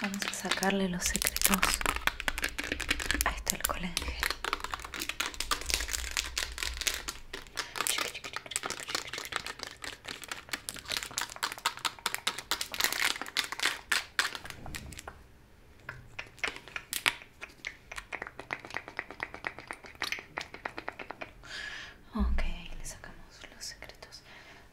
Vamos a sacarle los secretos a esto el colegio Ok, le sacamos los secretos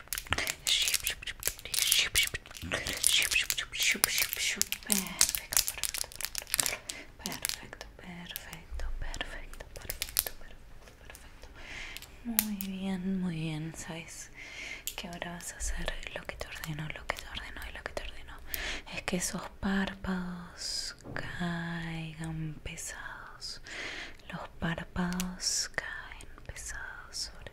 perfecto, perfecto, perfecto, perfecto, perfecto. perfecto, Muy bien, muy bien, ¿sabes? Que ahora vas a hacer lo que te ordenó lo que te ordenó y lo que te ordeno. Es que esos párpados caigan pesados. Los párpados caen pesados sobre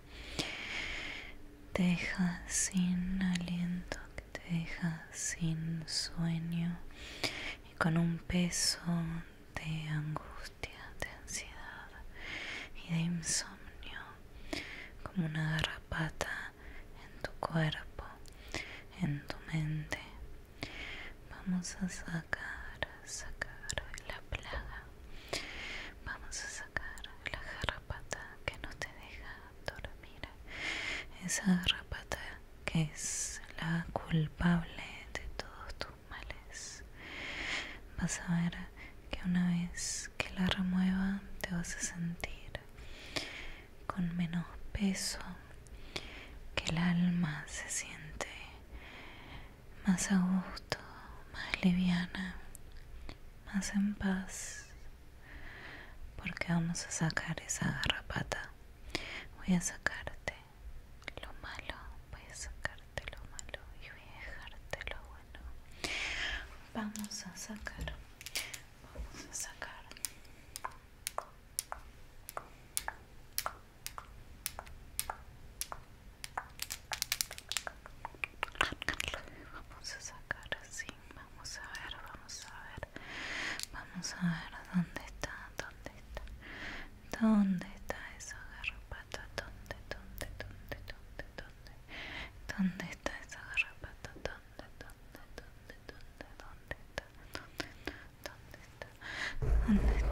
te deja sin aliento, te deja sin sueño y con un peso de angustia, de ansiedad y de insomnio, como una garrapata en tu cuerpo, en tu mente. Vamos a sacar, sacar la plaga. Vamos a sacar la garrapata que no te deja dormir. Esa garrapata que es la culpable de todos tus males. Vas a ver que una vez que la remueva te vas a sentir con menos peso, que el alma se siente más a gusto, más liviana, más en paz porque vamos a sacar esa garrapata voy a sacarte lo malo voy a sacarte lo malo y voy a dejarte lo bueno vamos a sacar vamos a sacar Vamos a sacar así, vamos a ver, vamos a ver, vamos a ver dónde está, dónde está, dónde está esa garrapata, dónde, dónde, dónde, dónde, dónde, dónde está esa garrapata, dónde, dónde, dónde, dónde, dónde está, dónde dónde está, dónde está, dónde está.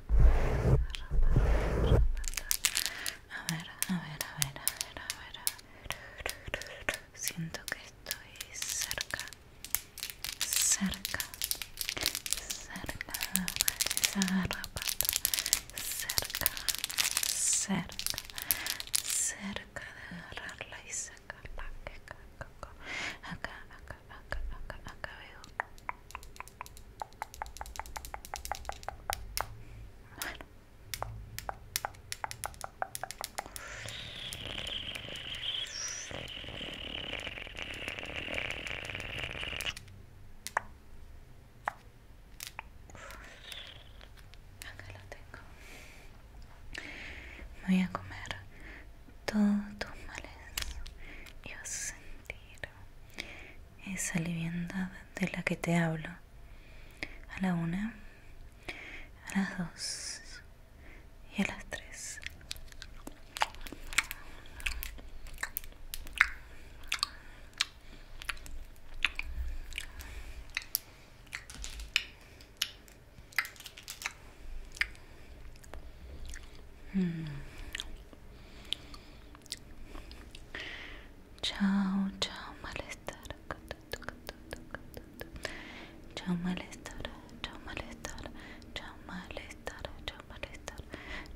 A ver, a ver, a ver, a ver, a ver, Siento que estoy cerca, cerca, cerca de esa cerca, cerca, cerca de agarrarla y sacarla. Acá, acá, acá, acá, acá, veo. Bueno. Acá lo tengo. Me voy a comer todos tus males y vas esa vivienda de la que te hablo. A la una, a las dos y a las tres. Mm. Chao, chao, malestar. Chao, malestar. Chao, malestar. Chao, malestar. Chao, malestar.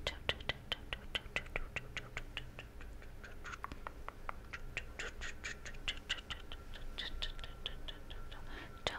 Chao, chao, chao, chao, chao, chao, chao, chao, chao, chao, chao, chao,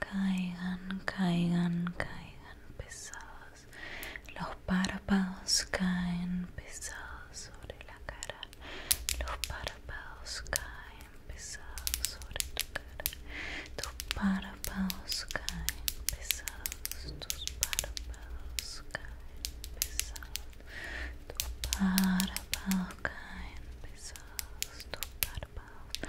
caigan, caigan, caigan pesados. Los párpados caen pesados sobre la cara. Los párpados caen pesados sobre la cara. Tus párpados caen pesados. Tus párpados caen pesados. Tus párpados caen pesados. Tus párpados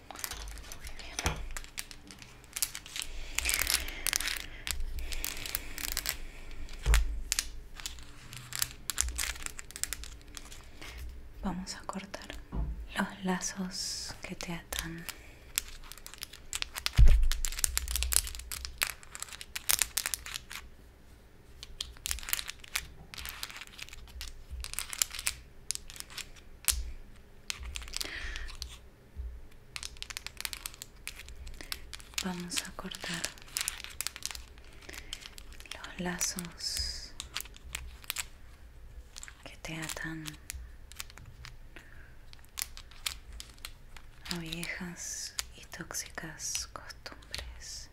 Vamos a cortar los lazos que te atan. Vamos a cortar los lazos que te atan a viejas y tóxicas costumbres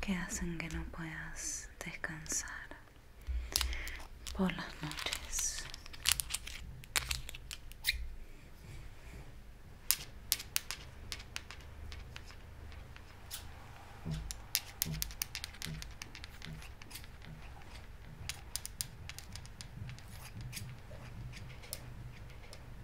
que hacen que no puedas descansar por las noches.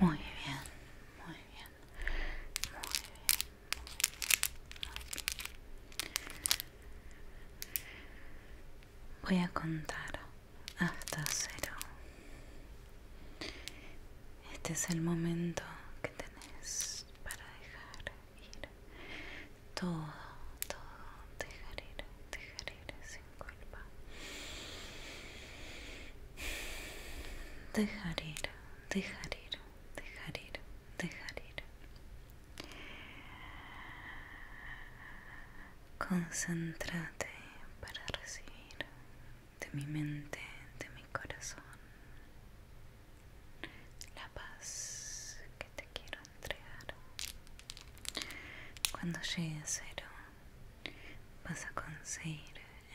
Muy bien, muy bien, muy bien. Voy a contar hasta cero. Este es el momento que tenés para dejar ir todo, todo, dejar ir, dejar ir sin culpa. Dejar ir, dejar ir, dejar ir, dejar ir. Concéntrate para recibir de mi mente, de mi corazón, la paz que te quiero entregar. Cuando llegue a cero, vas a conseguir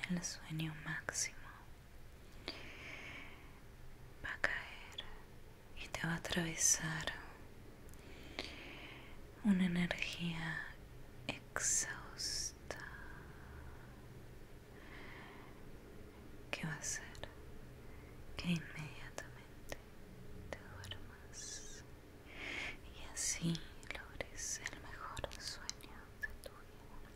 el sueño máximo va a caer y te va a atravesar una energía exhausta que va a hacer que inmediatamente te duermas y así logres el mejor sueño de tu vida.